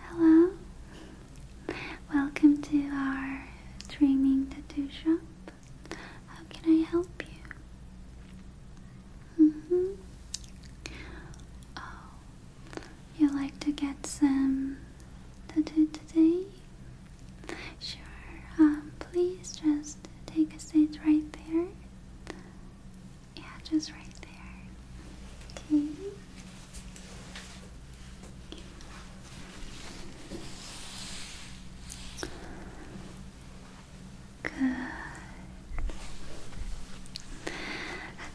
Hello, welcome to our dreaming tattoo shop. How can I help you? -hmm. Oh, you like to get some tattoo today? Sure. Um, please just take a seat right there. Yeah, just right there. Okay. Good.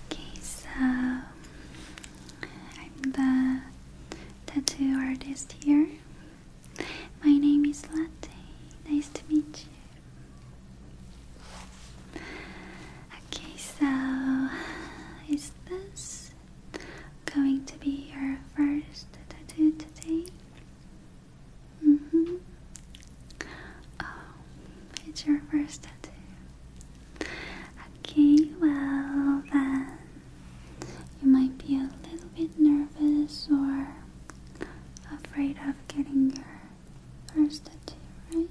Okay, so I'm the tattoo artist here. My name is Latte. Nice to meet you. Okay, so is this going to be your first tattoo today? Mm hmm. Oh, it's your first tattoo. Okay, well then, you might be a little bit nervous or afraid of getting your first tattoo, right?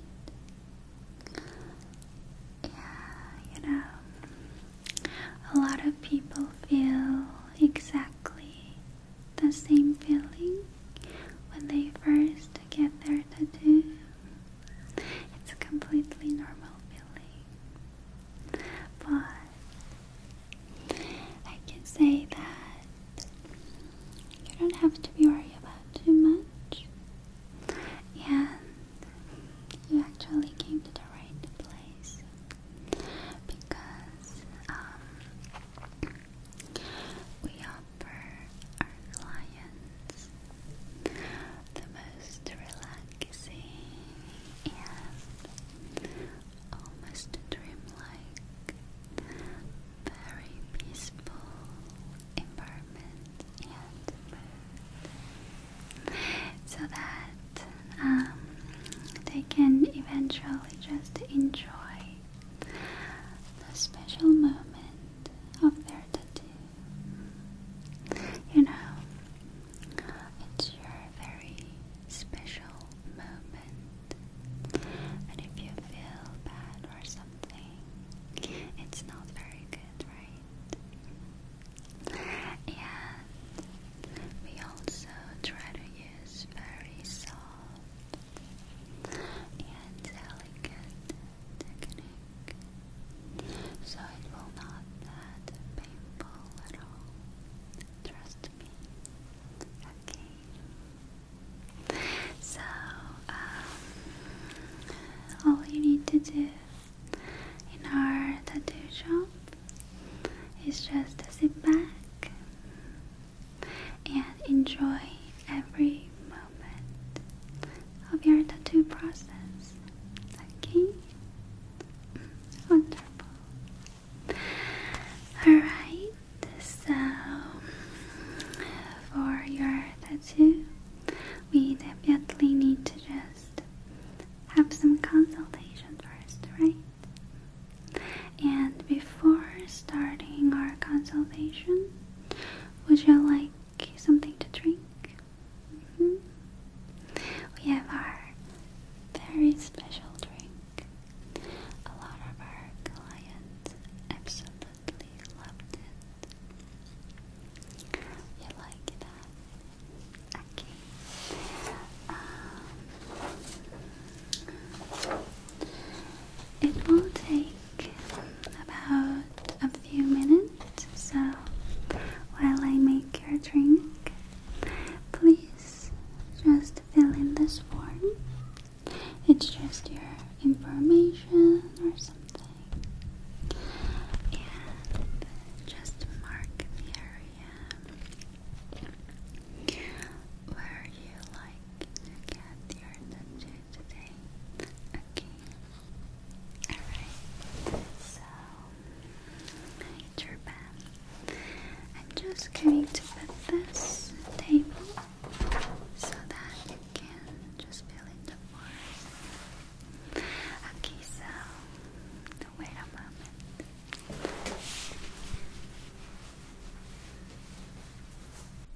Yeah, you know, a lot of people feel exactly the same feeling when they first get their tattoo. It's a completely normal feeling. But I can say that you don't have to be worried about too much. And you actually came to the right place because um, we are offer our clients the most relaxing and almost dreamlike, very peaceful environment and so that um, they can eventually just enjoy the special moment of their tattoo. You know, it's your very special moment. And if you feel bad or something, it's not very good, right? And we also try to use very soft and elegant technique, so it will not that painful at all. Trust me. Okay. So, um, all you need to do in our tattoo shop is just to sit back and enjoy every moment of your tattoo process. Okay? Wonderful. Alright, so for your tattoo, we definitely need to just have some consultation first, right? And before starting our consultation, would you like Okay, something to drink. Mm-hmm. We have our very special drink. A lot of our clients absolutely loved it. You like that? Okay. Um, it will take about a few minutes. So while I make your drink, please just fill in this form. It's just your information or something. And just mark the area where you like to get your tattoo today. Okay. Alright, so hi Turban. I'm just going to put this table so that you can just fill in the form. Okay, so wait a moment.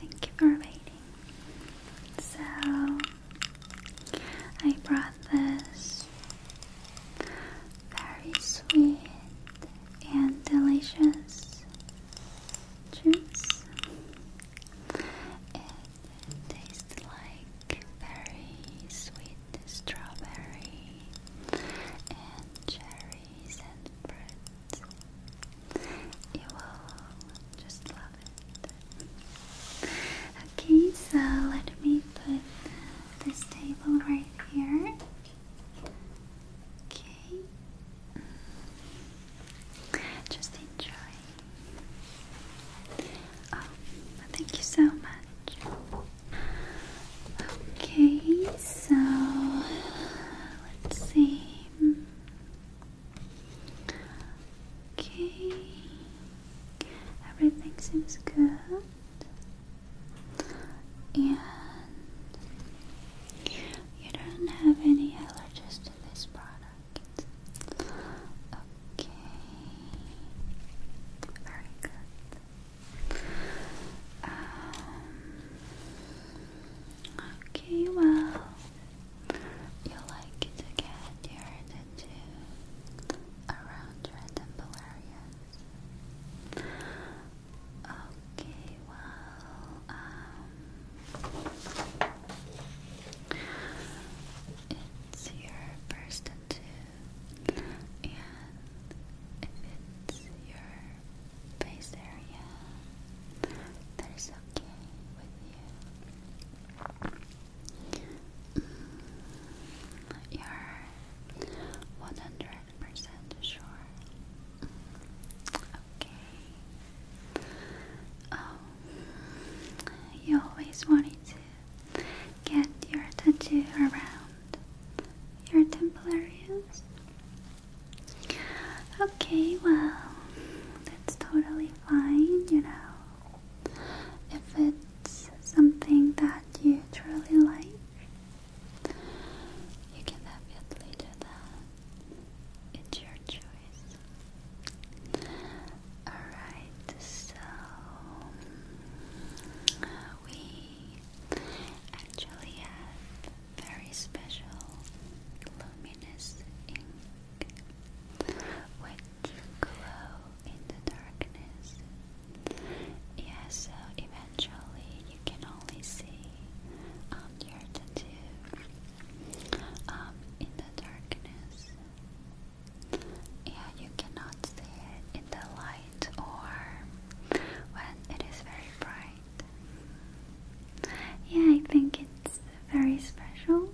Thank you for waiting. So, I brought this very sweet and delicious juice. It tastes like very sweet strawberry and cherry trees You will just love it. Okay, so let me put this table right here. Okay. Just enjoy. Oh, thank you so much. Okay, so let's see. Okay, everything seems good. And you don't have any allergies to this product. Okay, very good. Um, Okay, well, you like to get your tattoo around your areas. Okay, well, um, it's your first tattoo, and it's your face area that is okay with you. Mm, you're one hundred percent sure. Okay. Um, you always wanted to get your tattoo around your temple areas. Okay, well, that's totally fine, you know. If it's something that you truly like, you can definitely do that. It's your choice. Alright, so we actually have very special luminous ink which glow in the darkness. Yeah, so eventually you can only see um, your tattoo um, in the darkness. Yeah, you cannot see it in the light or when it is very bright. Yeah, I think it's very special.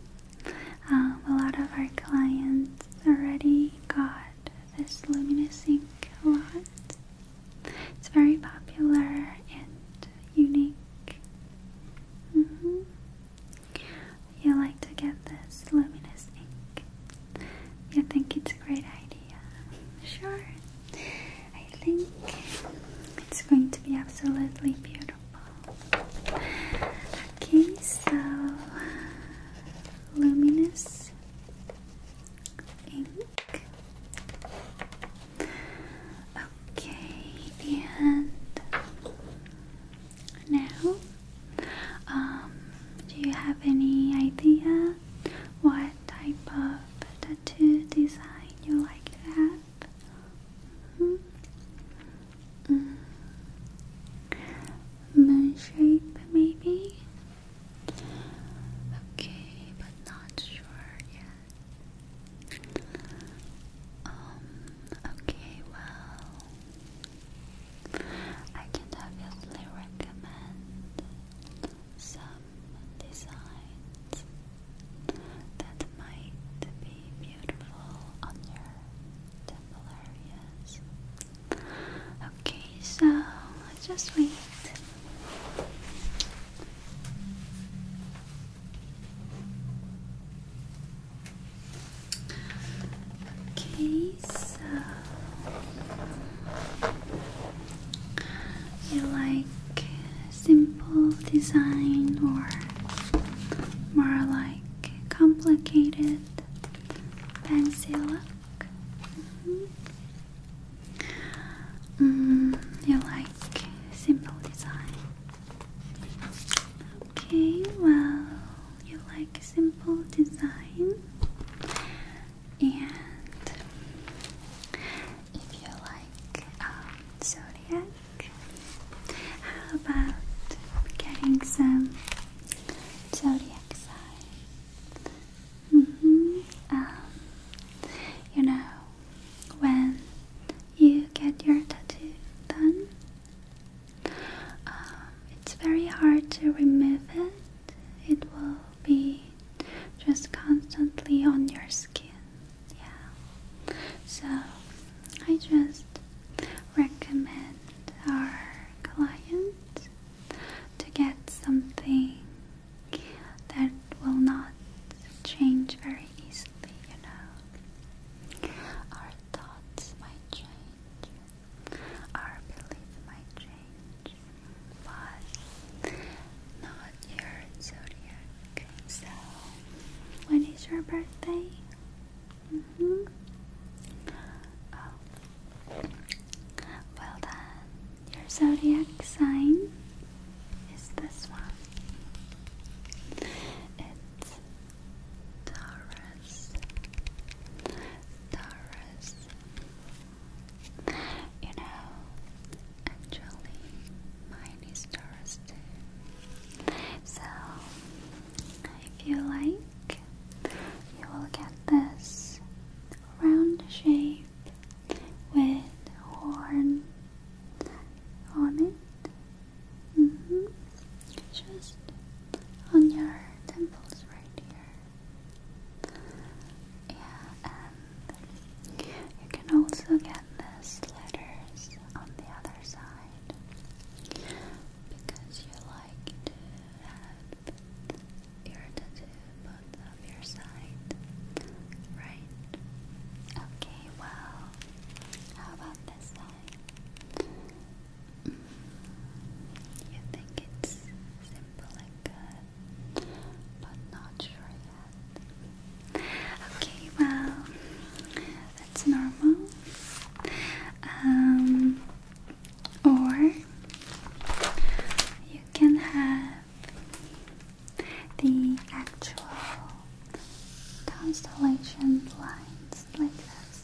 Um, a lot of our clients already got this luminous ink a lot. It's very popular and unique. Mm-hmm. You like to get this luminous ink. You think it's a great idea? Sure, I think it's going to be absolutely beautiful. Okay, so luminous ink. Okay, and now, um, do you have any idea what type of to design you like that mm-hmm. Mm-hmm. Moon shape, maybe? Okay, but not sure yet. Um, okay, well, I can obviously recommend some designs that might be beautiful on your temple areas. Okay, so let's just wait. Okay, so you like simple design or more like complicated fancy look? -hmm. you like simple design? Okay, well, you like simple design and if you like um, zodiac. How about getting some zodiac sign? Mm-hmm. Um, you know, when you get your tattoo done, um, it's very hard to remove it. It will be just constantly on your skin. Yeah. So I just recommend our client to get something that will not change very easily, you know. Our thoughts might change, our beliefs might change, but not your zodiac Okay, so when is your birthday? hmm Oh. Well then, your zodiac sign is this one. It's Taurus. Taurus. You know, Actually, mine is Thursday. So, if you like, you will get this round shape with horn on it. Mm-hmm. Just on your temples right here. Yeah, and you can also get this letters on the other side because you like to have your tattoo both of your side, right? Okay, well, how about this side? Mm, you think it's simple and good? but not sure yet. Okay, well, that's normal. Um, or you can have the actual constellation lines like this.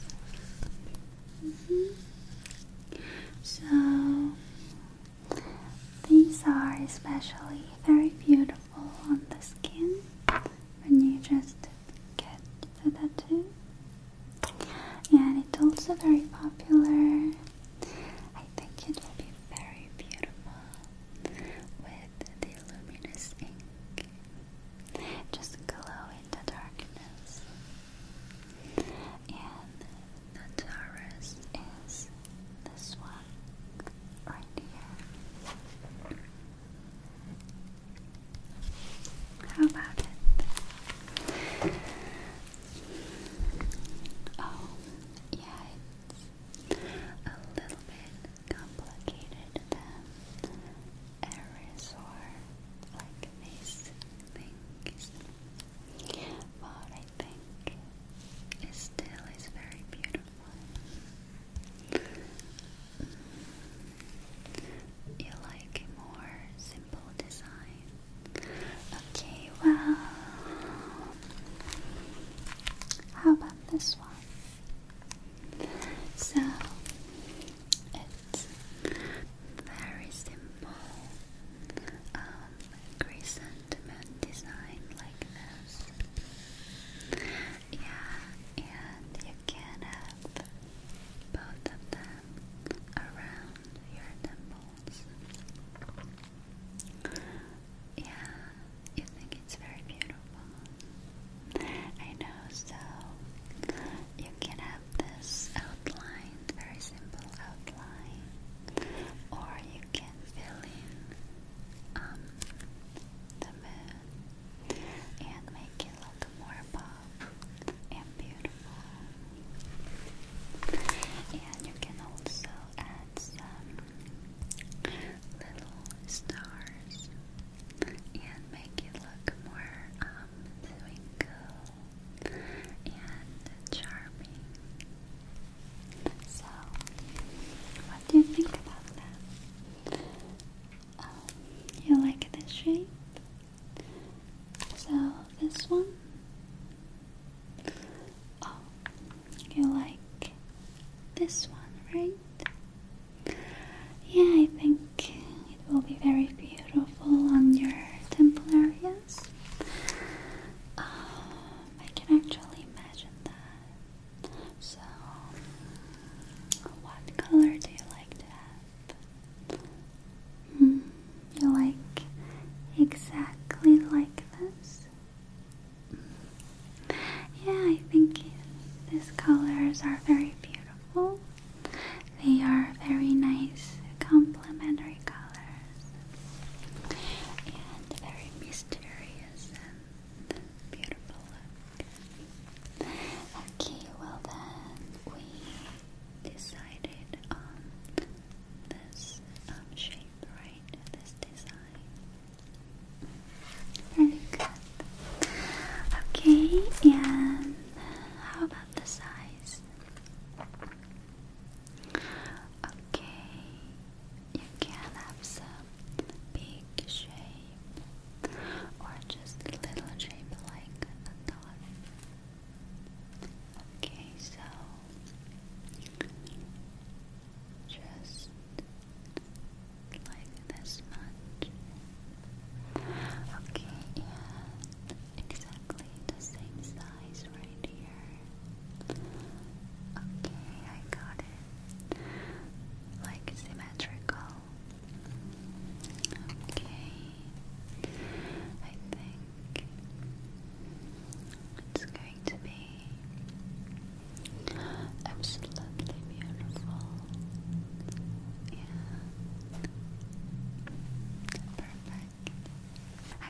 Mm-hmm. So these are especially very beautiful on the skin when you just get the tattoo. And it's also very popular. I think it will be very beautiful with the luminous ink. Just glow in the darkness. And the Taurus is this one right here. How about it? Oh, yeah, it's a little bit complicated than errors like this thing. But I think it still is very beautiful. You like more simple design. Okay, well, how about this one? So it's very simple um, ultimate design like this. Yeah, and you can have both of them around your temples. Yeah, you think it's very beautiful. I know, so you can have this outline, very simple outline, or you can fill in um, the moon and make it look more pop and beautiful. And you can also add some little stars and make it look more um, twinkle and charming. So, what do you think about that? Um, you like this shape? So, this one? Oh, you like this one, right? Yeah, I think it will be very beautiful on your temple areas. Um, I can actually imagine that. So, what color do you like to have? Hmm, you like exactly like this? Yeah, I think these colors are very beautiful. They are very nice complementary colors and very mysterious and beautiful look. Okay, well then we decided on this um, shape, right? This design. Very Okay, and how about the size? Okay, you can have some big shape or just little shape like a dot. Okay, so just like this much. Okay, and exactly the same size, Okay, I got it. Like symmetrical. Okay. I think it's going to be absolutely beautiful. Yeah. Perfect.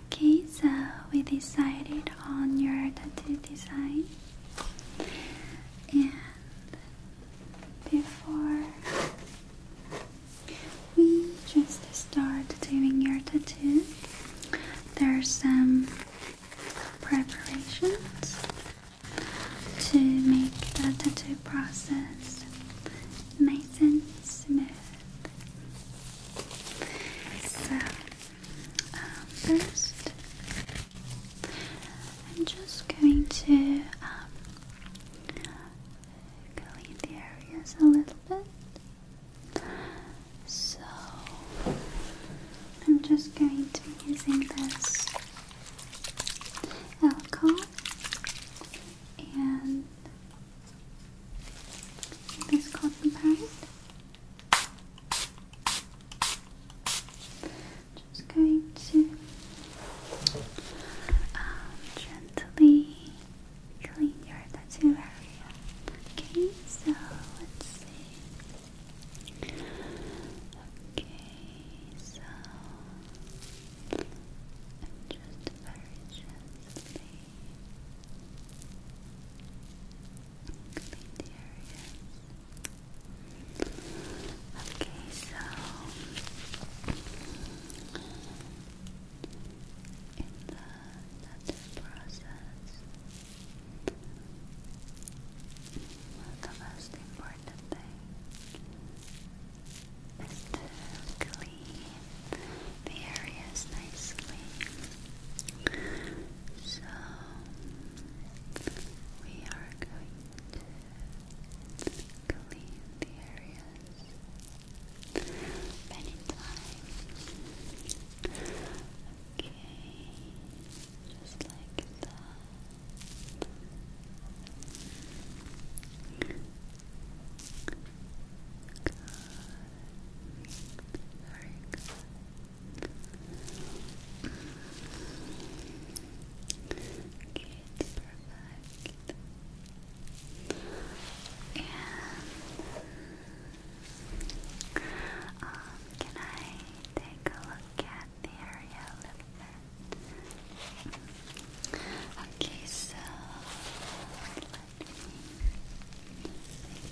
Okay, so we decided on your tattoo design. And before we just start doing your tattoo, there's some preparations to make the tattoo process nice and smooth. So um, first, I'm just going to um, clean the areas a little bit. So, I'm just going to be using this alcohol and this cotton just going to um, gently clean your tattoo area. Okay, so let's see. Okay, so just very gently clean the areas. Okay, so in the process, the most important thing is to clean the areas nicely. So we are going to clean the areas many times. Okay, just like that. Good. Very Okay, it's perfect. And um, can I take a look at the area a little bit? Okay, so let me take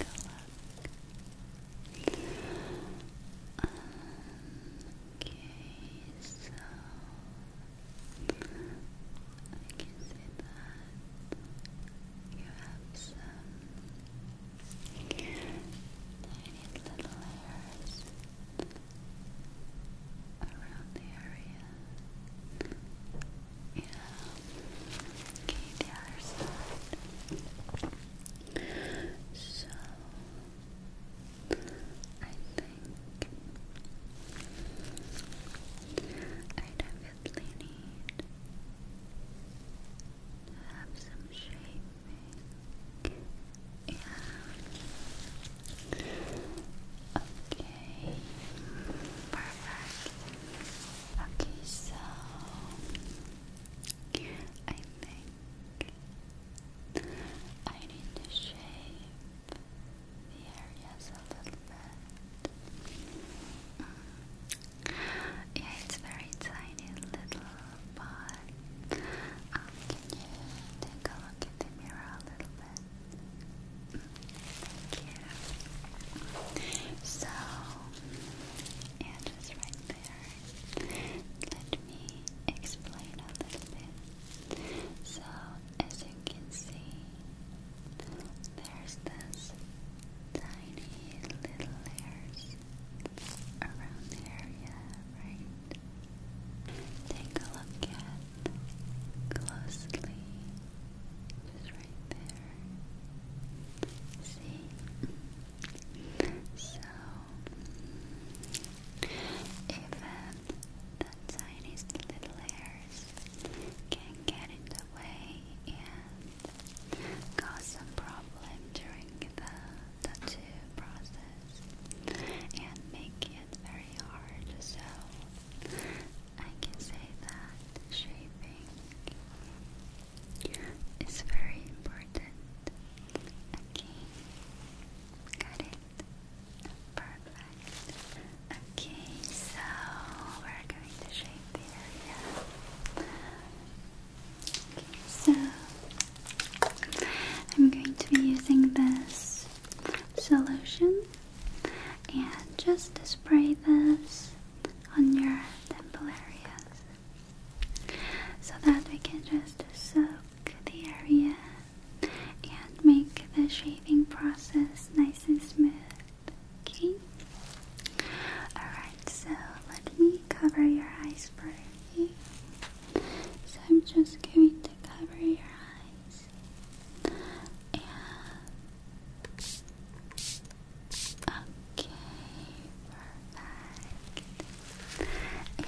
a look. Um, okay, so I can say that you have some tiny little hairs around the area. Yeah. Okay, the other side. So I think I definitely need have some shaping. Yeah. Okay. Perfect. Okay, so I think I need to shape the areas a little bit. Mm. Yeah, it's very tiny little, but um, can you take a look at the mirror a little bit? Mm, thank you. So, yeah, just right let me explain a little bit. So, as you can see, there's this tiny little layers around the area, right? Take a look at closely, just right there. See? So, even the tiniest little hairs can get in the way and cause some problem during the tattoo process and make it very hard. So, I can say that shaping is very important. Okay, got it. Perfect. Okay, so we're going to shape the area. so I'm going to be using this solution and just spray this on your temple areas so that we can just soak the area and make the shaving process nice and smooth. Okay? Alright, so let me cover your eyes for you. So I'm just going to cover your eyes. And Okay, perfect. And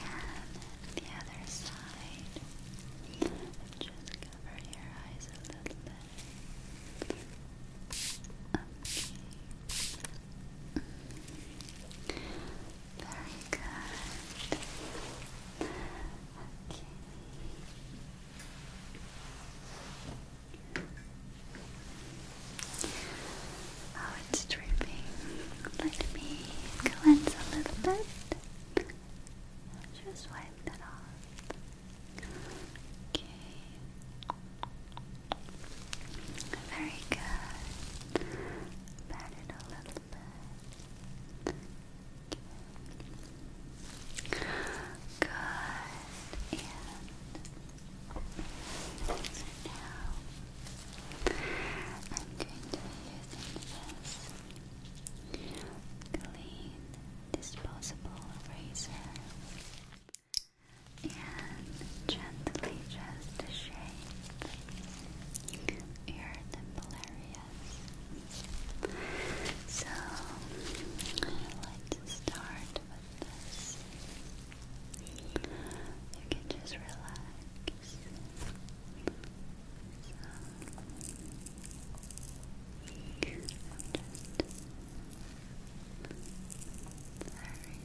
the other side. Just cover your eyes a little bit. Okay. Very good. Okay. Oh, it's dripping. Let me cleanse a little bit. Just wipe that off. Okay. Very good. Pat it a little bit. Good now, I'm going to be using this clean disposable razor and gently just shave your temple areas. So, let's start with this. You can just relax.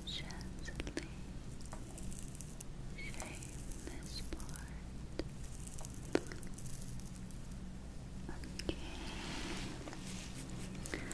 So, i just very gently shave this part. Okay. Good.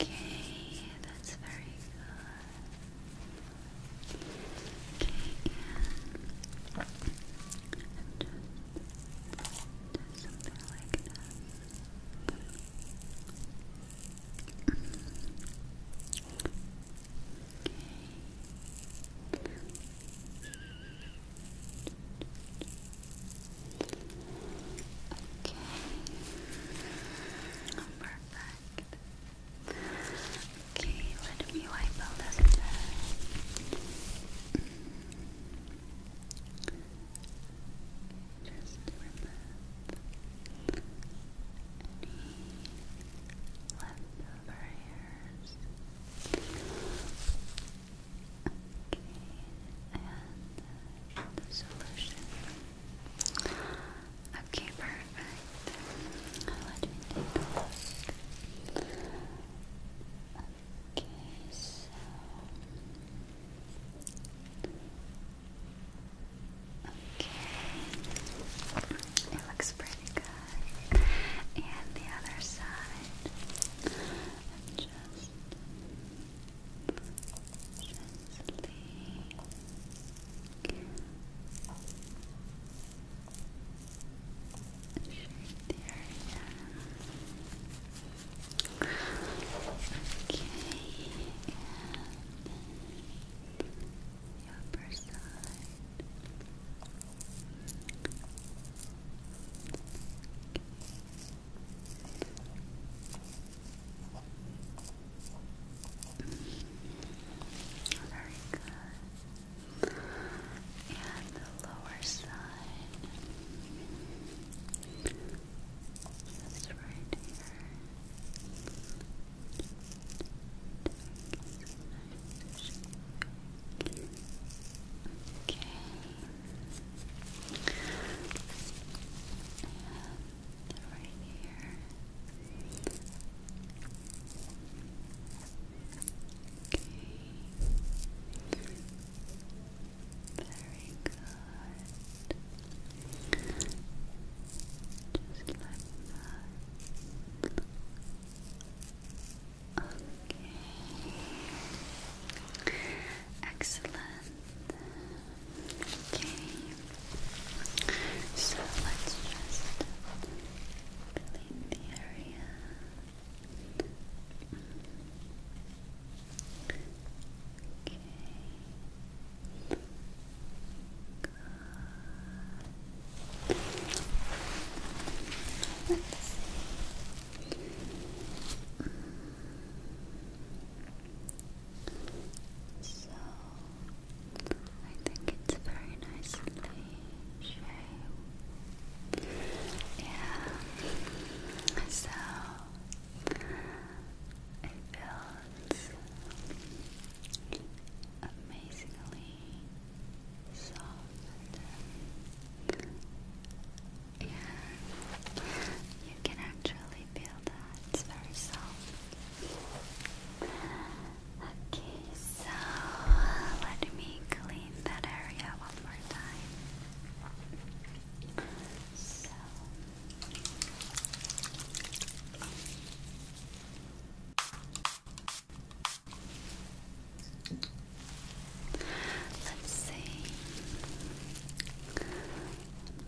Okay, that's very good. Okay, and just something like that. Okay. Okay. Perfect. Okay, let me wipe out this Just remove any leftover hairs. Okay, the solution. Okay, perfect. Okay, so okay, it looks pretty good. And the other side, just. Okay gently shake Okay, and the upper side. Very good. And the lower side. Just right here. Okay. And right here. Okay. Very good. Just like that. Okay. Excellent. Okay. So let's just clean the area. Okay. Let's so I think it's very nicely shaped. Yeah. So it feels amazingly soft yeah, you can actually feel that. It's very soft. Okay, so let me clean that area one more time. So. Let's see.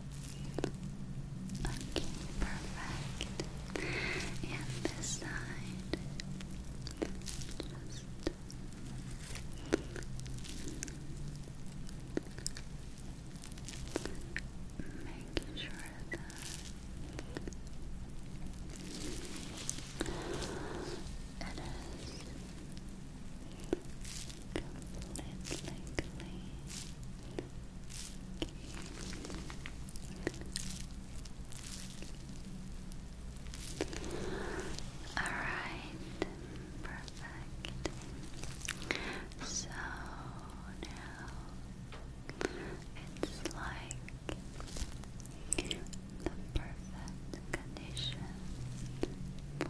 Okay, perfect. And this side, just making sure that. It is completely clean. All right, perfect. So now it's like the perfect condition for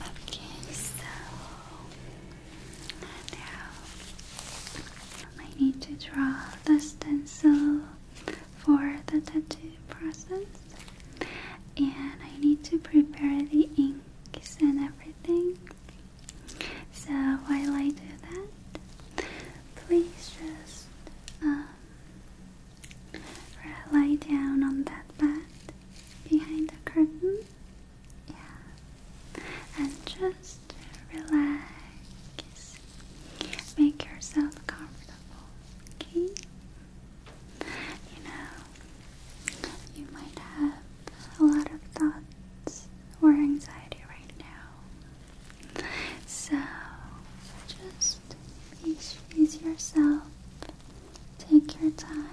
Okay, so now I need to draw the stencil for the tattoo process, and I need to prepare the inks and everything. So while I do that, please just um, lie down on that bed behind the curtain. Yeah. And just relax. Make yourself comfortable. Okay? You know, you might have a lot of thoughts or anxiety right now. So just ease yourself, take your time,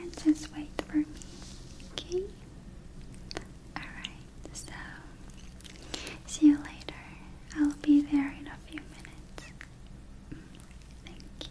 and just wait for me, okay? Alright, so see you later. I'll be there in a few minutes. Thank you.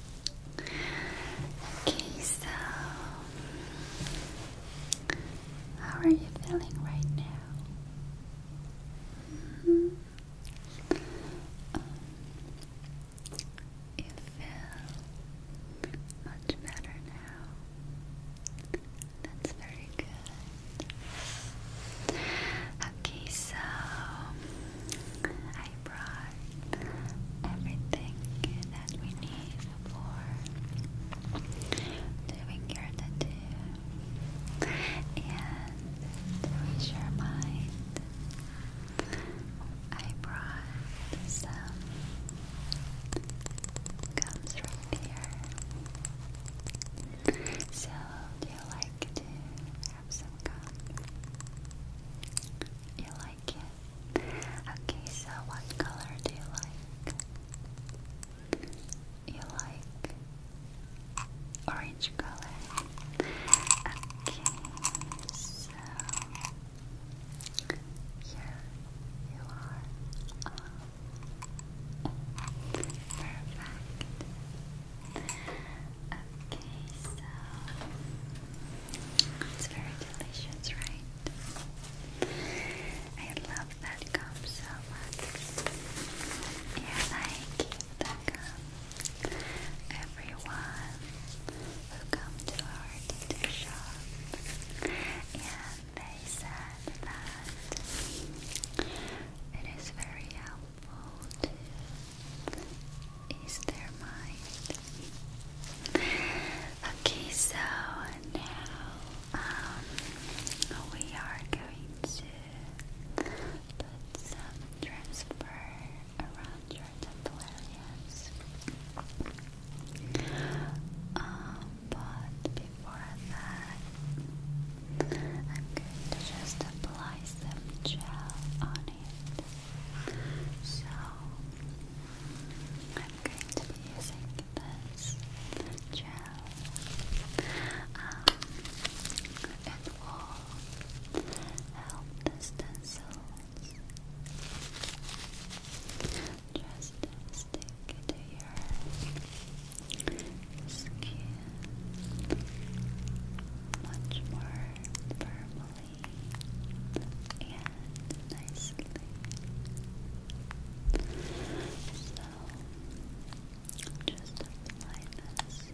Okay, so how are you feeling right now? Mm-hmm. you feel much better now. That's very good. Okay, so I brought everything that we need for doing your tattoo and to reach your mind I brought some gums right here so do you like to have some You like it? Okay, so what color do you like? You like orange color. Okay, so here you are. perfect. Okay, so it's very delicious, right? I love that gum so much. Yeah, I give that gum. Everyone who come to our tattoo shop, and they said that it is very helpful is their mind. Okay, so now um, we are going to put some transfer around your temple areas. Um, but before that, I'm going to just apply some gel on it. So I'm going to be using this gel. Um, it will help the stencils just stick to your skin much more firmly slowly and nicely. So, just apply this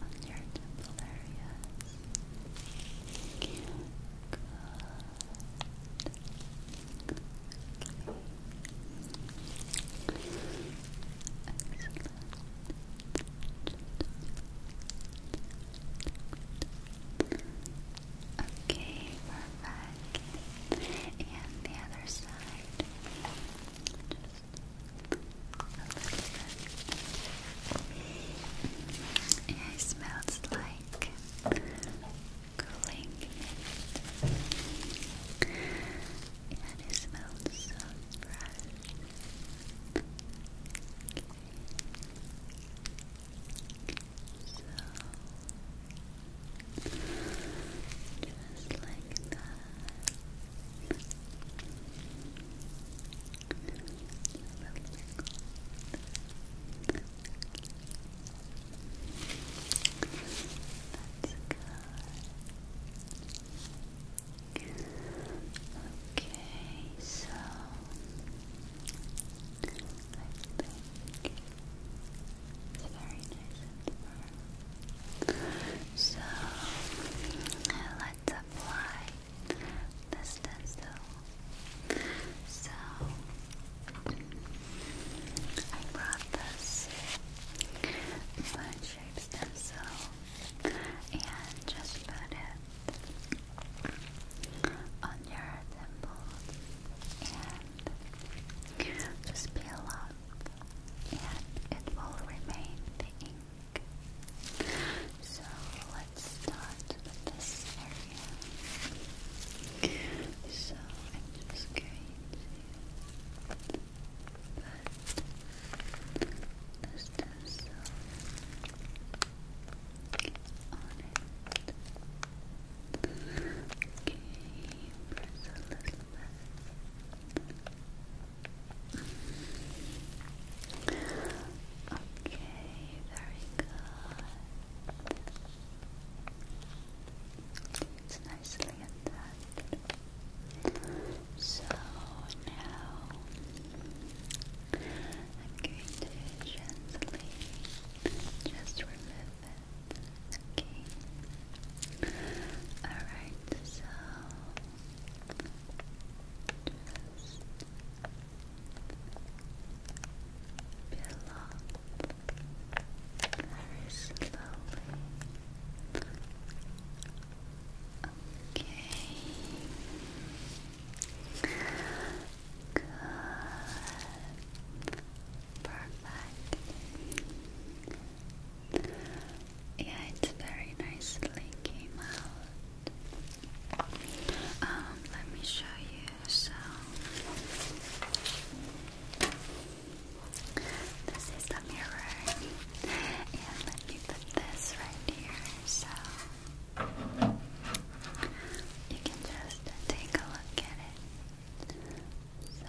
on your temple areas. Good. Okay, perfect. And the other side. Just yeah, it smells like cooling And it smells so fresh just like that. That's good. Okay, so I think it's very nice So let's apply the stencil. So I brought this fun shape stencil and just put it on your temples and just peel up and it will remain the ink. So let's start this area. So just going to put this this on it. Okay, press a little bit. Okay, very good. It's nicely attached. So now I'm gently just remove it. Okay. Alright, so just peel very slowly. Okay. Good. Perfect. Yeah, it's very nicely came out. Um, let me show you. So, this is the mirror, and let you put this right here so you can just take a look at it. So,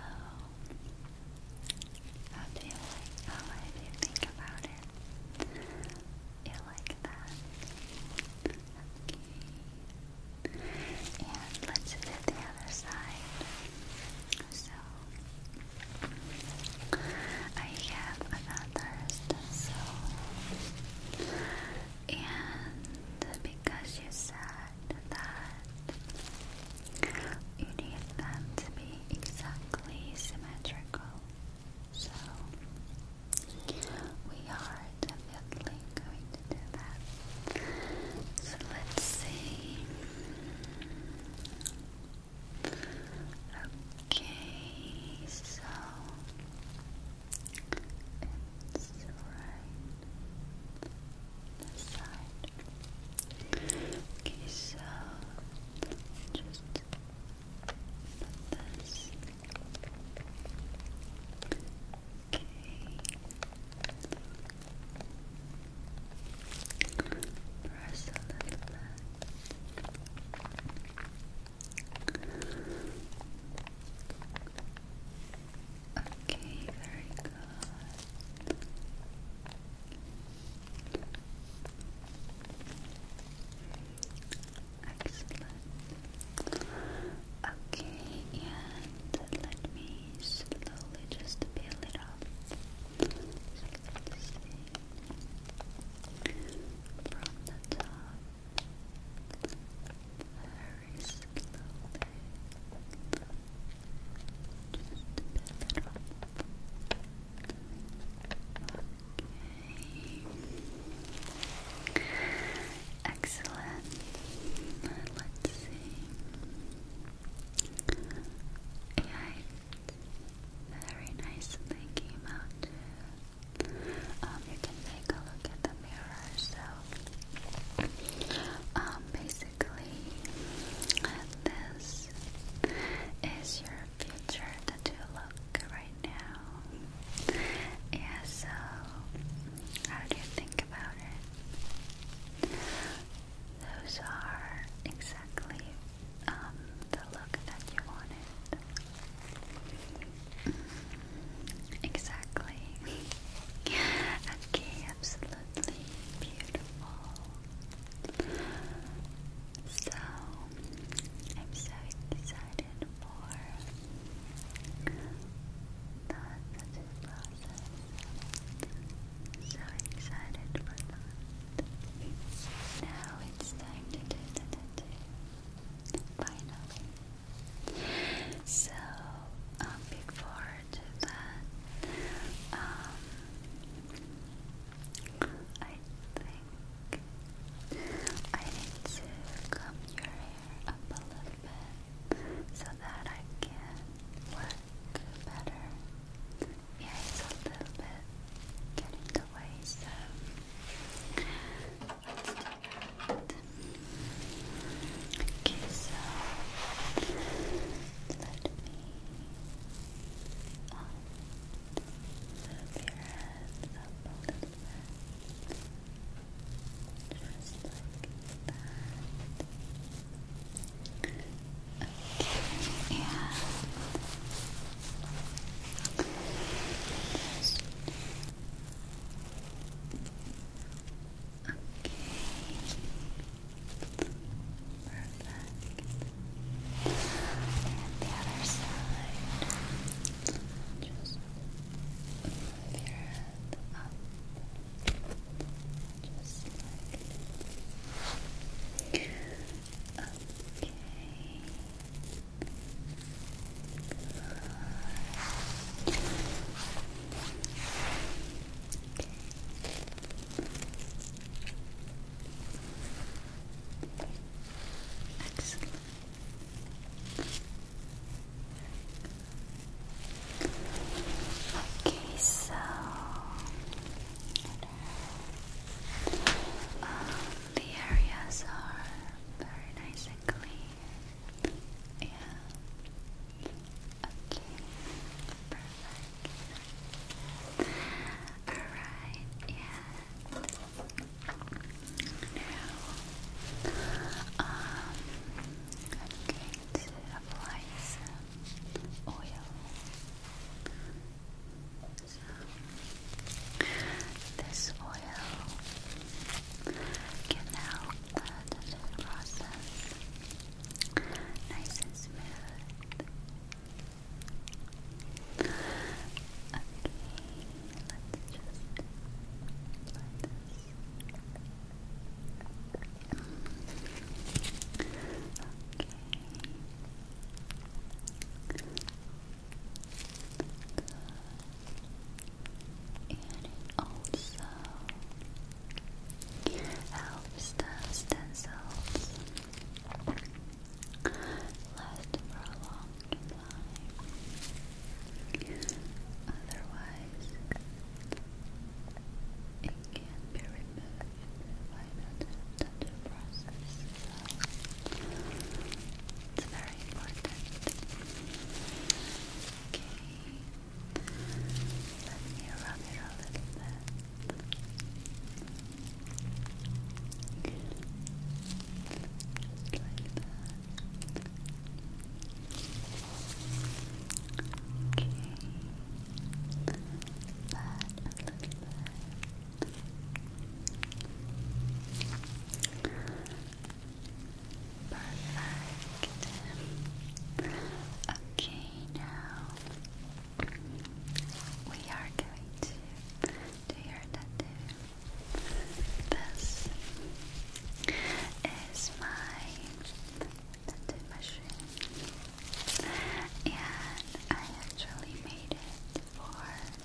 how do you like, oh, how do you think about it? You like that? Okay. And let's do the other side. So, I have another stencil, and because you said that you need them to be exactly symmetrical, so we are definitely going to do that. So let's see. Okay, so it's right this side. Okay, so just put this. Okay. Press a little bit. Okay, very good. Excellent. Okay, and let me slowly just peel it off from the top very slowly just a bit okay excellent let's see yeah, I very nice they came out. Um, you can take a look at the mirror. So, um, basically, this is your future tattoo look right now. Yeah. So, how do you think about it? Those are exactly um, the look that you wanted. Mm, exactly. okay, absolutely beautiful. So, I'm so excited for that process. So excited for that. Now it's time to do the tattoo. Finally. So, um, before I do that, um, I think I need to comb your hair a little bit so that I can work better yeah, it's a little bit getting in the way, so let so let me on move your head up just like that. Okay, and just... Okay. Perfect. And the other side. Just move your head up. Just like Okay. Excellent. Okay, so the areas are very nice and clean. Yeah. Okay. Perfect. Alright, yeah. Now, um, I'm going to apply some oil. This oil can help the tattoo process nice and smooth. Okay, let's just let this. Okay. Good. And it also helps the stem cells last for a long time. Otherwise, it can be removed by the, the, the process. So, it's very important. Okay. Let me rub it a little bit. like that. Okay. a little bit. Perfect. Okay, now we are going to do your tattoo. This is my tattoo machine, and I actually made it for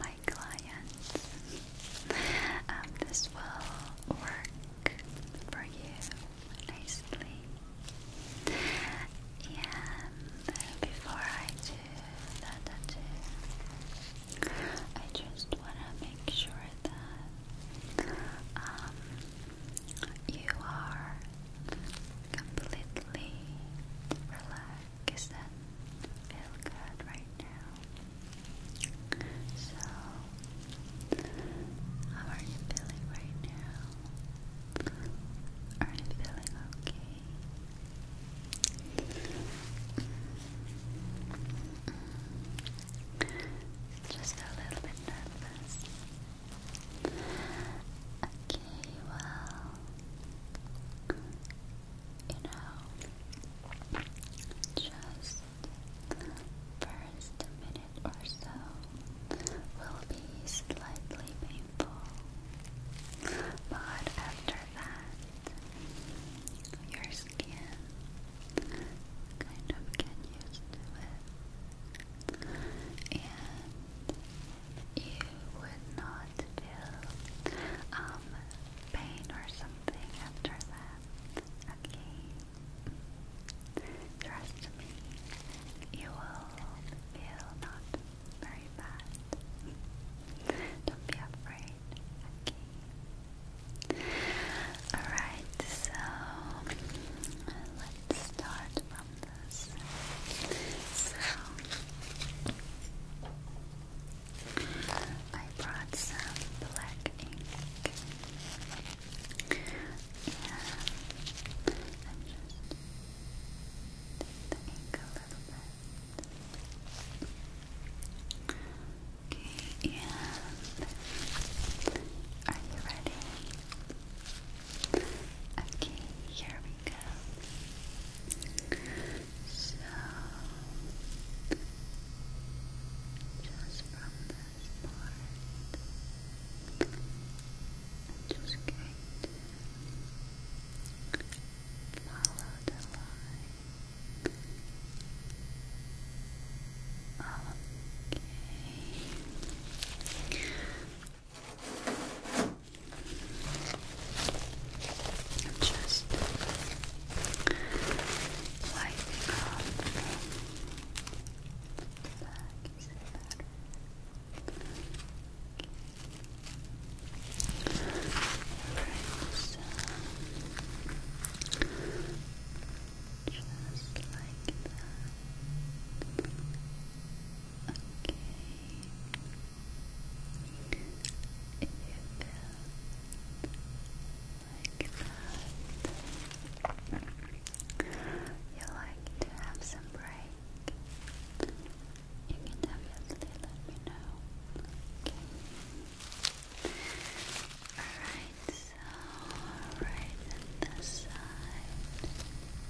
my clients. Um, this will work for you nicely. And before I do that, I, I just want to make sure that um, you are completely relaxed because that feel good right now. So, how are you feeling right now? Are you feeling okay? Just a little bit nervous. Okay, well, you know, just first minute or so will be slightly painful, but after that, your skin kind of get used to it. And you would not feel um, pain or something after that. Okay. Trust me, you will feel not very bad. Don't be afraid. Okay. Alright, so let's start from this. So I brought some black ink I'm just the ink a little bit. Okay, and are you ready? Okay, here we go. So, just from this part, I'm just going to follow the line. Okay. I'm just wiping off the better? just like that. Okay. You feel like that. You like to have some break. You can definitely let me know. Okay. Alright, so right at the side.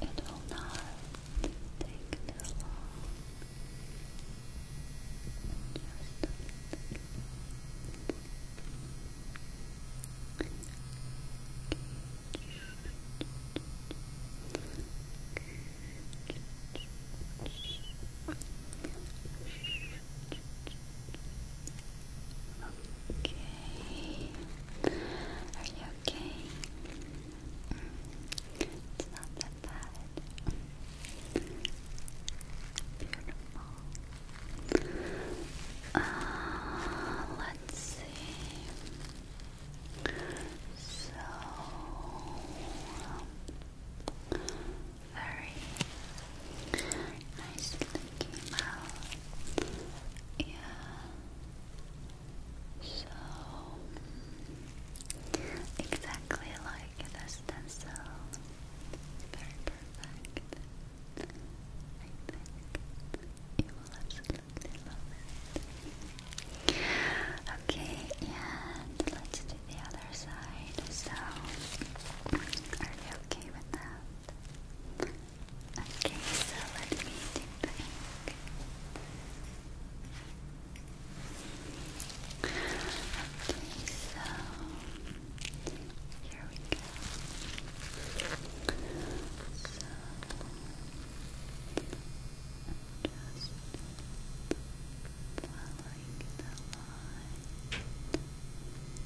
It will not take this long. Just Okay. Are you okay? It's not that bad. Beautiful. let's see. So very nicely came out. Yeah. So exactly like the stencil. It's very perfect. I think you will absolutely love it. Okay, and let's do the other side. So, are you okay with that? Okay, so let me dip Okay, so here we go. So just following the line.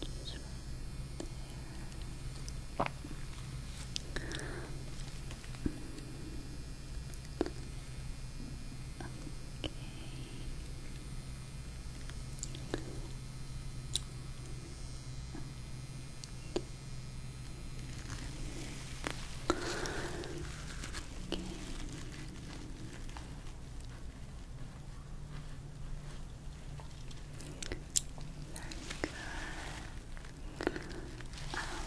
Just right Okay. Okay good. Um,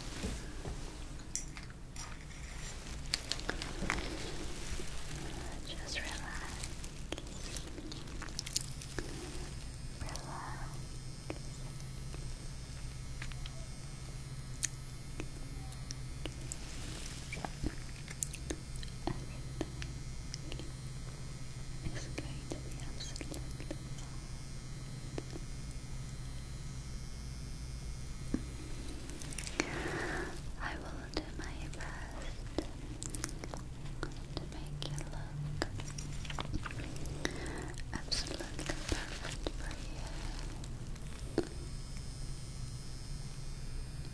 just relax. Relax. Good. Everything I will do my best to make you look absolutely perfect for you.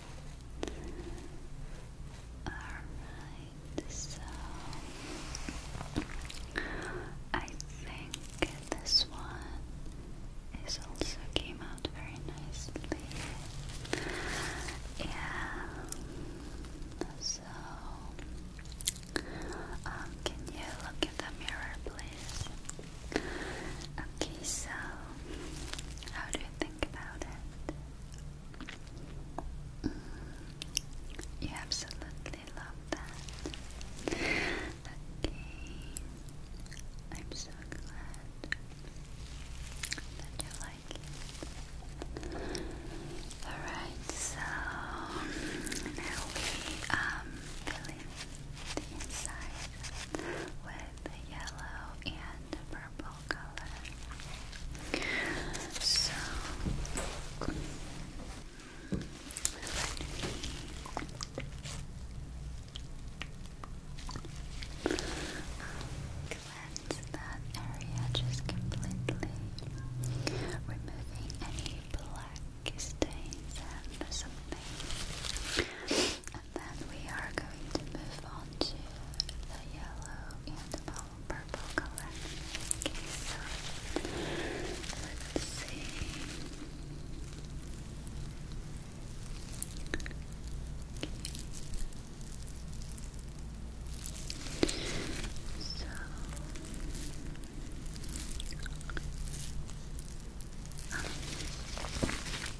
Alright, so I think this one is also came out very nicely. Yeah, so um, can you look in the mirror, please? Okay, so how do you think about it? Mm, you absolutely love that. Okay, I'm so glad that you like it. Alright, so now we um, fill in the inside with yellow and purple. So cleanse that area just completely, removing any black stains and something. And then we are going to move on to the yellow and the purple color. Okay, so let's see. So um,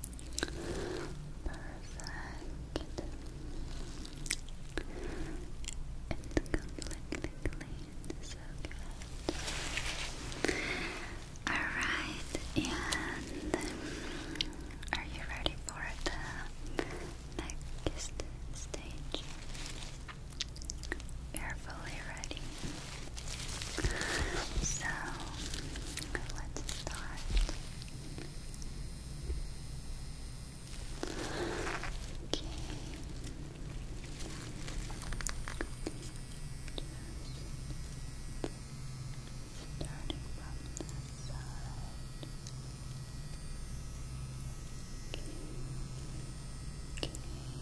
Perfect. It's completely so good. Alright, and are you ready for the next stage? you ready. So let's start. Okay. starting from the side. Okay.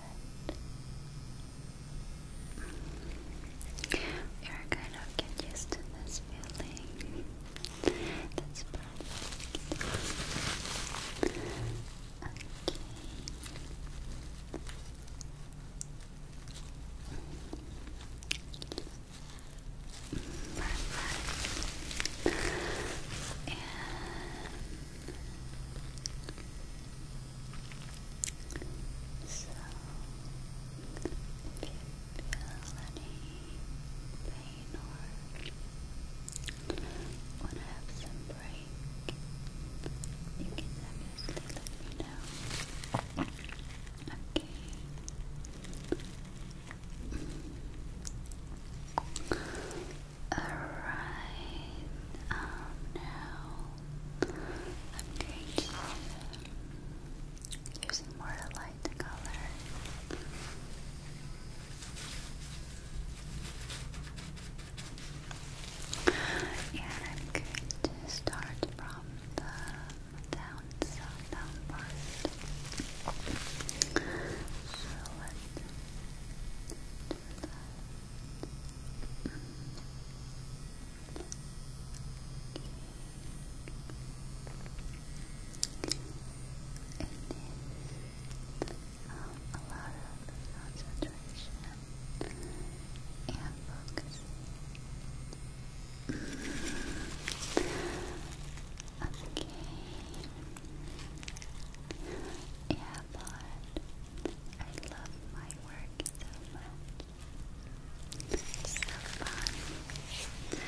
good. You're kind of get used to this feeling. That's perfect. Okay. Perfect. And so, if you feel any pain or want to have some break, you can let me know. Okay. Alright, um, now I'm going to using more light color. And I'm going to start from the down side, So let's do that um, a lot of concentration and focusing. Okay. Yeah, Babylon. I love my work so much. So fun.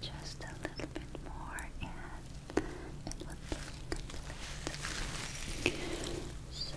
Just a little bit more and it will complete. So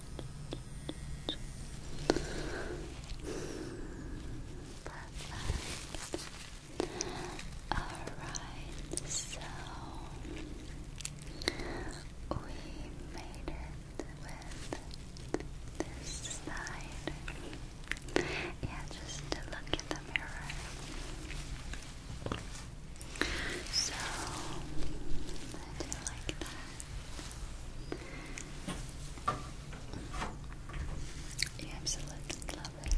Perfect. Alright, so we made it with this side. Yeah, just to look in the mirror. So I do like that. You absolutely love it.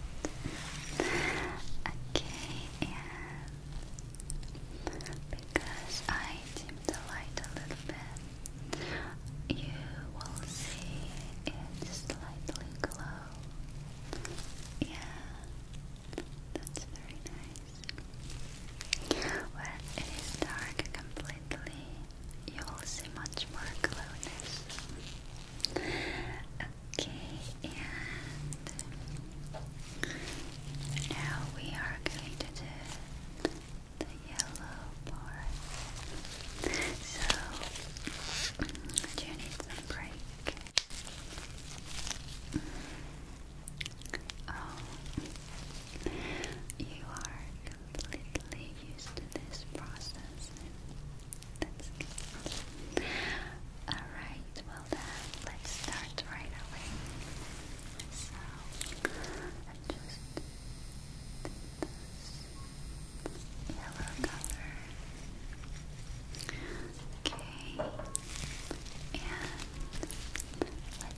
Okay, because I dim the light a little bit, you will see it slightly glow. Yeah, that's very nice. When it is dark completely, you will see much more glowness. Okay, and now we are going to do the yellow part. So, do you need some break? Oh, you are completely used to this process. That's good. Alright, well then, let's start right away. So, I just did yellow color. Okay, and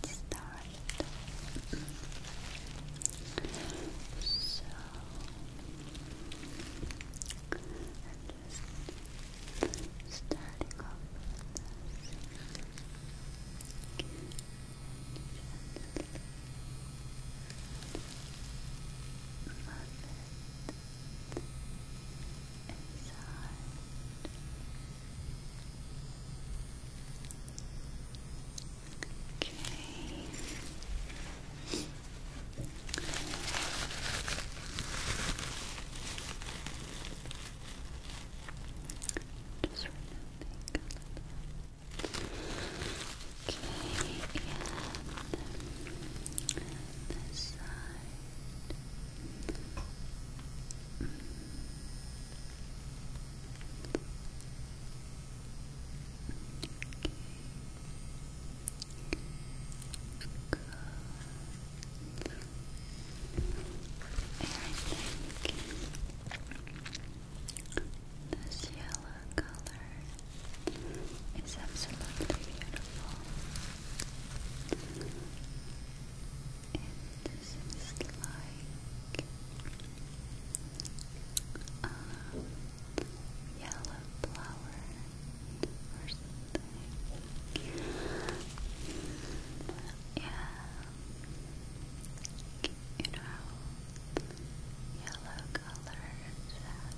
let's start so I'm just starting off with this. Muff it inside Okay. Just right Okay, and this side this yellow color is absolutely beautiful it seems like a yellow flower or something. Yeah, you know, yellow colors have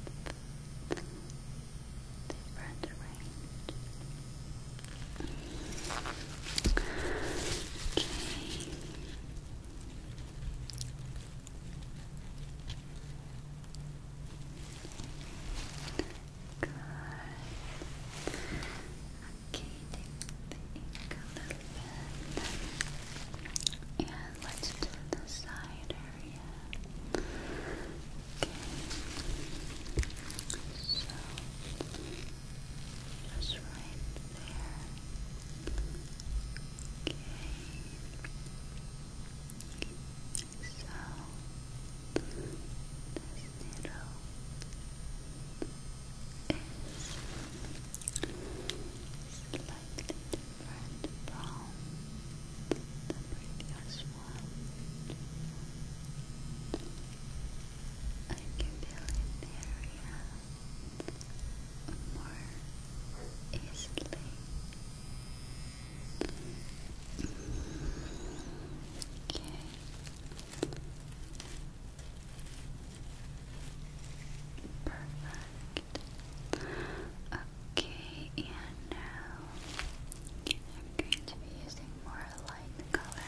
different range. Okay. Good. Okay, take a little bit. And let's do the side area. Okay. So just right there. Okay. So this needle is slightly different from the previous one. I can feel an area more easily. Okay. Perfect. Okay, and now I'm going to be using more more light color.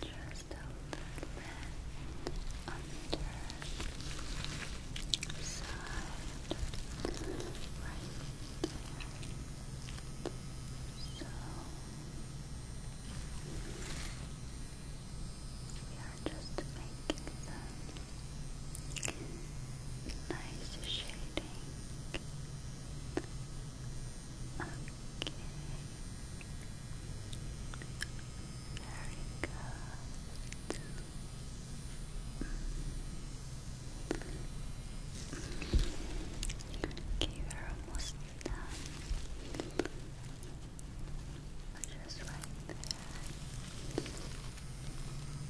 Just a little bit under uh, side, right So we are just making them nice shaded Okay. Very good. Okay, we're almost done. Just right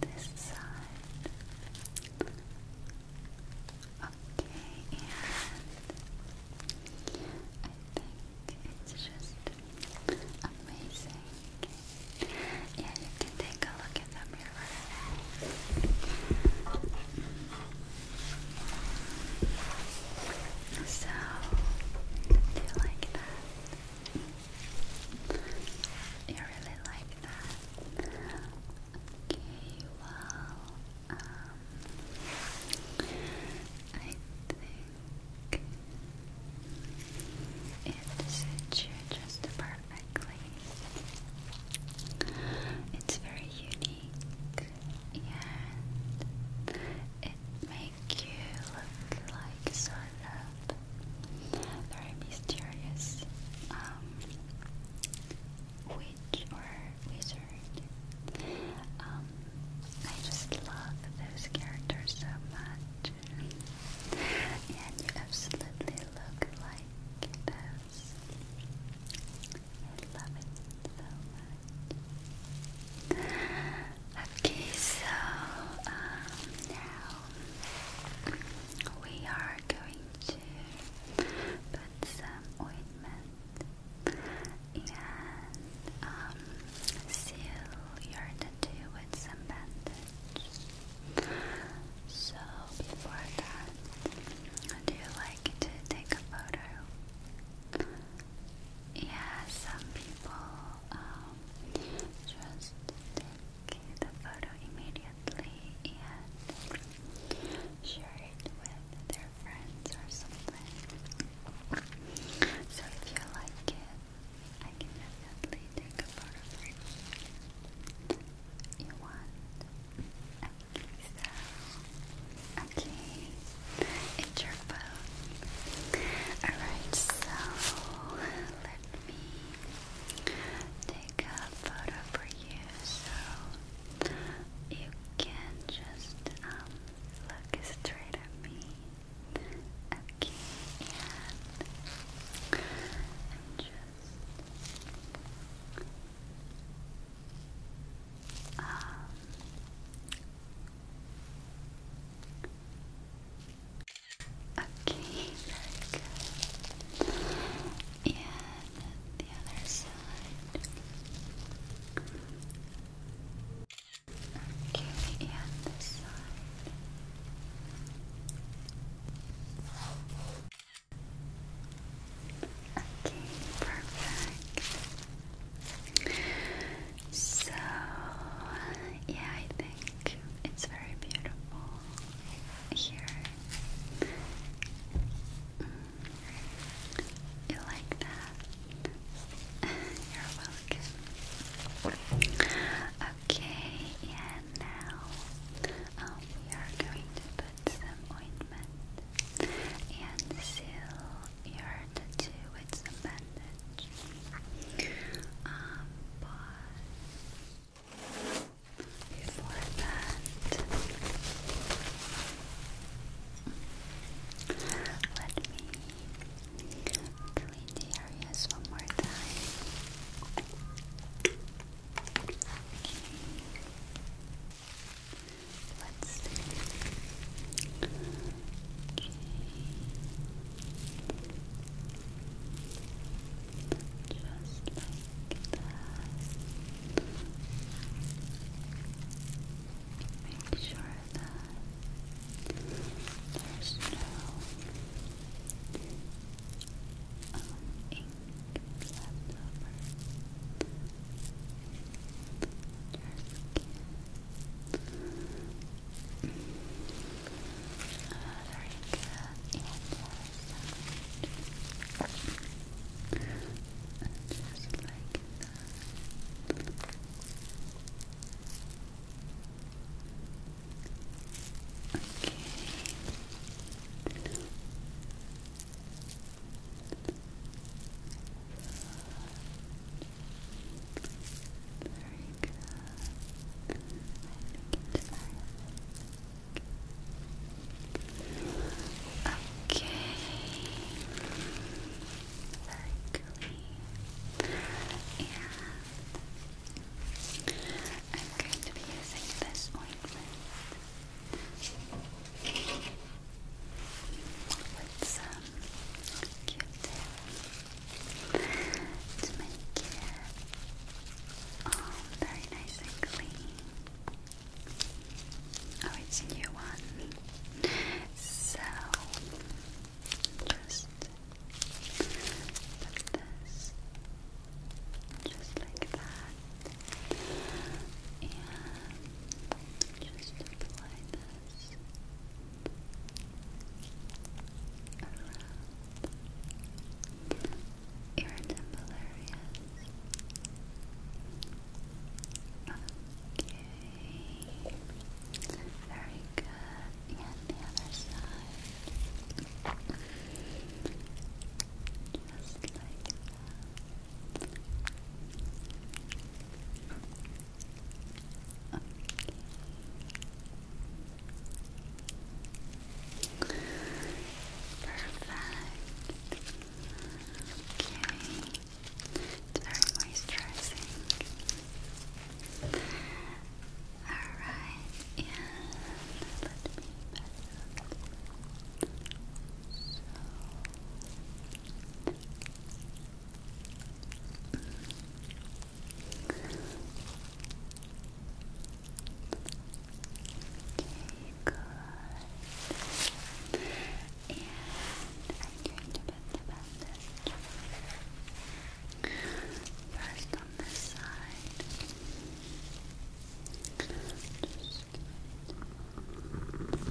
this side. Okay, and I think it's just amazing. Yeah, you can take a look at the mirror. So, do you like that? You really like that. Okay, well, um, I think it suits you just perfectly. It's very unique and it makes you look like sort very mysterious um, witch or wizard. Um, I just love those characters so much, and you absolutely look like those. I love it so much. Okay, so um, now we are going to put some ointment and um, seal your tattoo with some bandage. So before that, do you like to take a photo? Yeah, some people um, just the photo immediately and share it with their friends or something. So if you like it, I can definitely take a photo you. want? Okay, so okay, it's your phone. Alright, so let me take a photo for you so you can just um, look straight at me. Okay, and just um, Okay, very good. And the other side. Okay, and this side. Okay, perfect. So, yeah, I think it's very beautiful here. Mm. You like that? You're welcome. Okay, and now um, we are going to put some ointment and seal your tattoo with some bandage. Um, but before that. Let me clean the areas one more time. Okay. Let's see. Okay. Just like that. Make sure that there's no um, ink left over. Your skin. Very good. And just like that. Okay. Very good. I think Okay. Very clean. I'm going to be using this ointment with some q to make it um, very nice and clean. Oh, it's a new one. So just put this just like that. And just apply this around irritable areas. Okay, very good. And the other side, just like that. Okay. Perfect. Okay. It's very moisturizing. Alright, and let me so Okay, good. And I'm going to put the bandage first on this side. Just like that.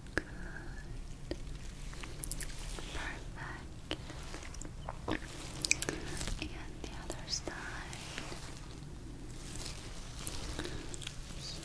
Good. Perfect. And the other side. So.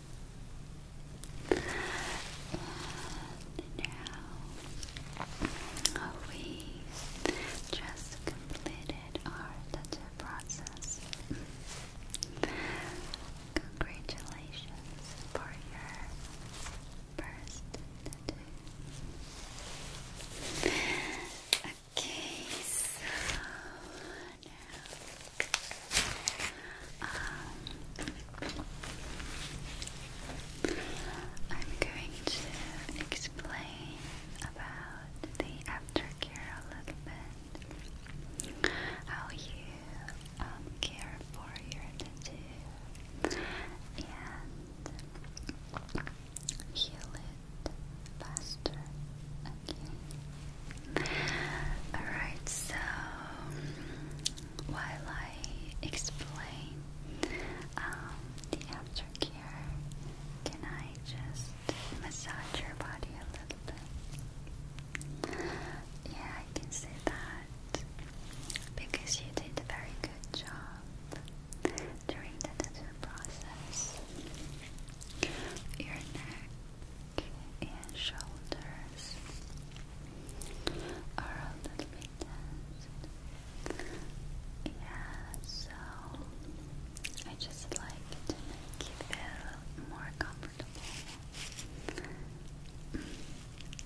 And now we just completed our tattoo process. Congratulations for your first tattoo. Okay, so now. Um, I'm going to explain about the aftercare a little bit. How you um, care for your tattoo and heal it Alright, so while I explain um, the aftercare, can I just massage your body a little Yeah, I can say that because you did a very good job during the tattoo process. Your neck and shoulders are a little bit tense. Yeah, so I just like to make it feel more comfortable.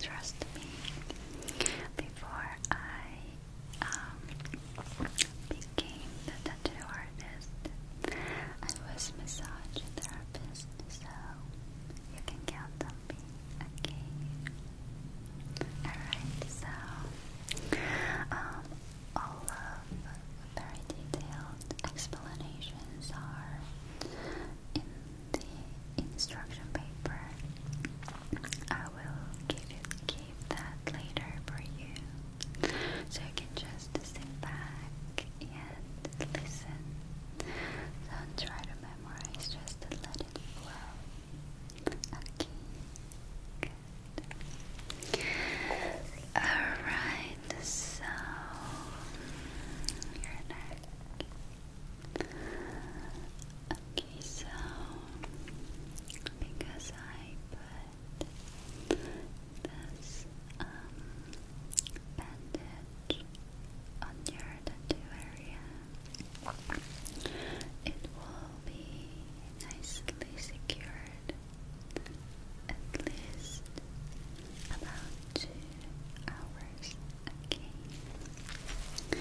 Trust me, before I um, the tattoo artist. I was massage therapist, so you can count on Okay. Alright, so um all of very detailed explanations are in the instruction paper. I will give give that later for you. So you can just sit back and listen. Don't try to memorize, just let it flow. Okay. Alright, so your neck. Okay, so because I put this um, bandage on your tattoo area. It will be nicely secured at least about two hours okay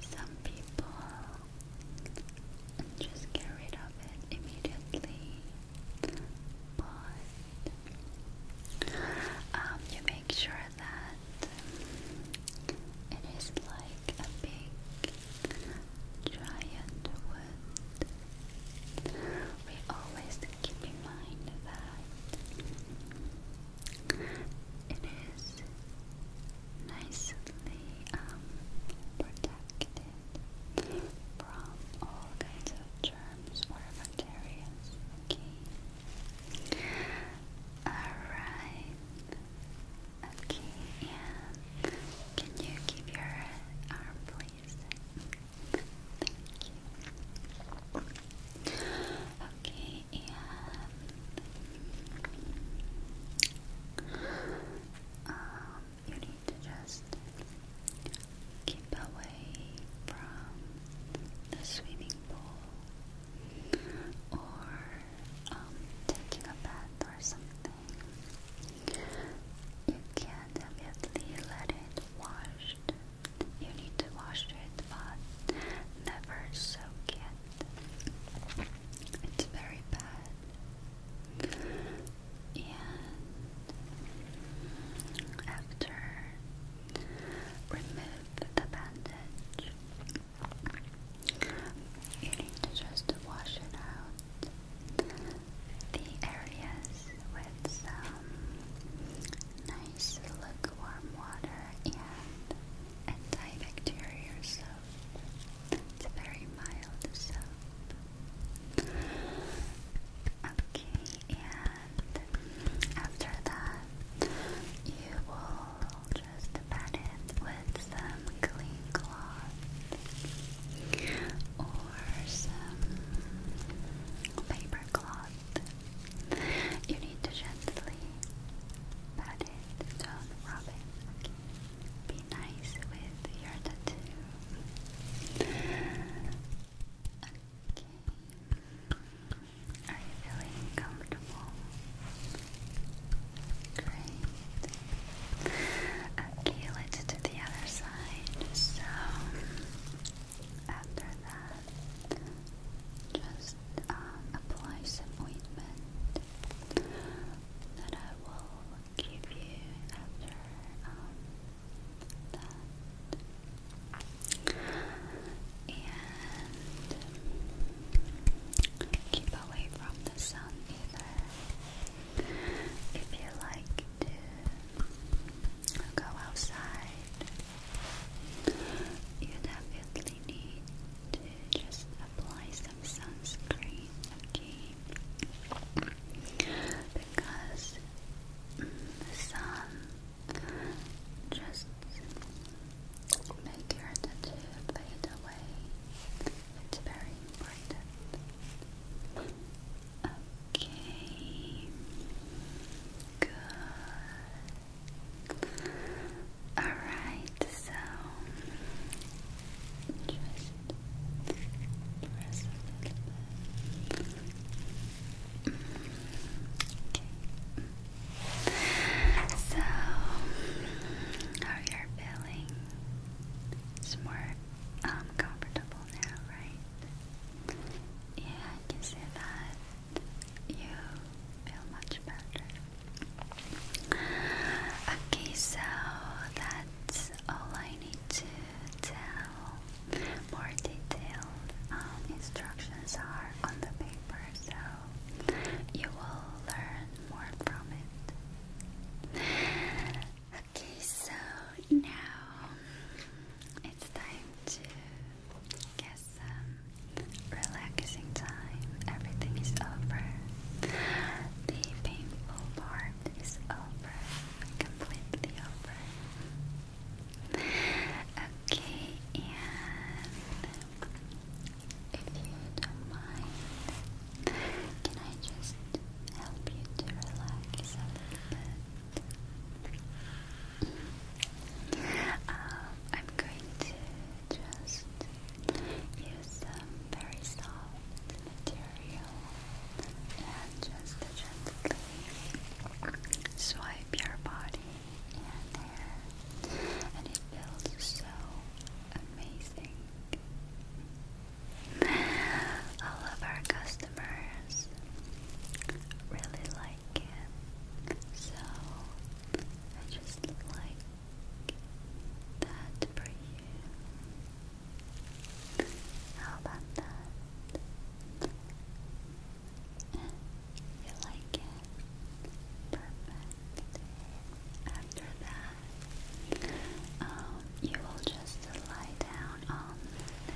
some people just get rid of it immediately but um, you make sure that it is like a big giant wood. We always keep in mind that it is nicely um, protected from all kinds of germs or bacteria. Okay. Alright. Okay, and can you keep your arm, please? Thank you. Okay, and um, you need to just keep away from the swimming pool or um, taking a bath or something. You can't immediately let it wash. You need to wash it, but never soak it. It's very bad. And after remove the bandage, you need to just wash it out the areas with some nice lukewarm water and antibacterial soap. very mild soap. Okay, and after that, you will just pat it with some clean cloth or some paper cloth. You need to gently pat it, don't rub it. Be nice with your tattoo. Okay. Are you feeling comfortable? Great. Okay, let's do the other side. So, after that, just um, apply some ointment that I will give you after um, that. And keep away from the sun either. If you like to go outside, you definitely need to just apply some sunscreen, okay? because the sun just make your tattoo fade away. It's very important. Okay. Good. Alright, so just press a Okay. So, how you feeling? It's more um, comfortable now, right? Yeah, I can see that you feel much better. Okay, so that's all I need to tell. More detailed um, instructions are on the paper, so you will learn more from it. Okay, so now it's time to get some relaxing time. Everything is over. The painful part is over, completely over. Okay, and if you don't mind, can I just help you to relax a little bit? Um, I'm going to just use some very soft material and just gently swipe your body and hair, and it feels so amazing. All of our customers really like it, so I just like that for you. How about that? You like it? Perfect. After that, um, you will just lie down on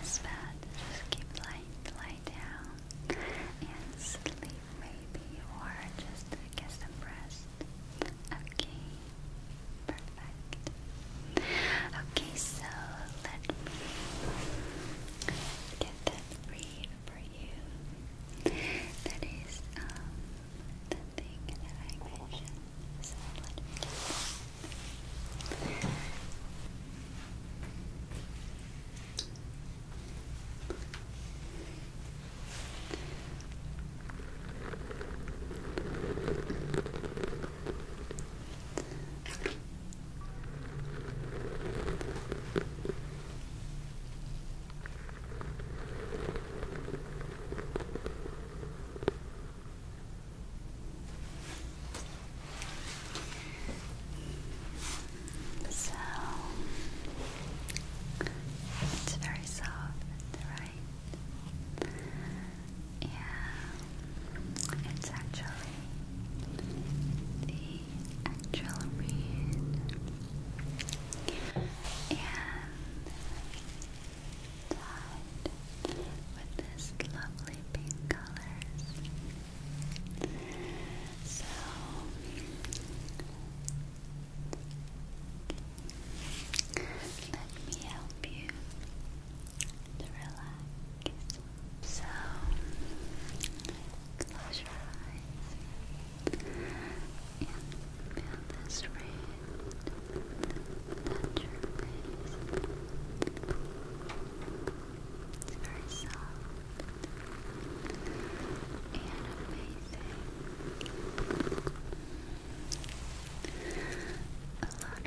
this bed. Just keep lying, lie down and sleep maybe, or just get some rest. Okay. Perfect perfect. Okay, so let me get that read for you. That is um, the thing that I mentioned. So let so it's very soft, right? Yeah, it's actually the actual read. And with this lovely pink colors. So let me help you to relax. So, close your eyes and feel this rain touch your face. It's very soft and amazing.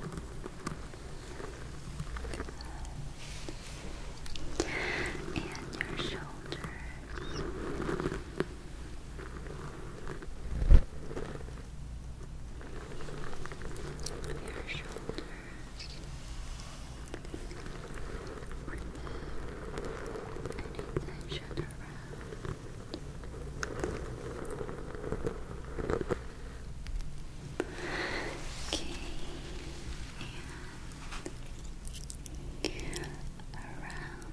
Good. And your shoulders. Your shoulders. Remove any tension around. Okay, around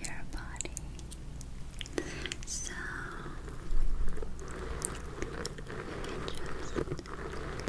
your body. So you just relax and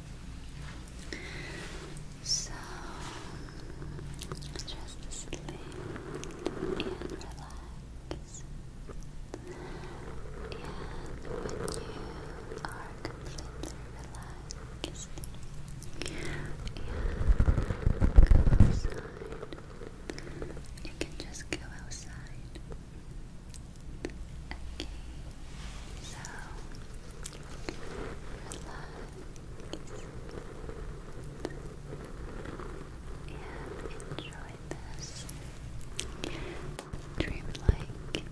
So just sleep and relax. And when you are completely relaxed, and you can just go outside. Okay, so relax and enjoy this dreamlike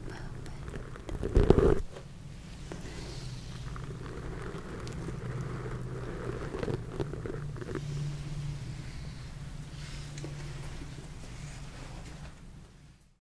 moment.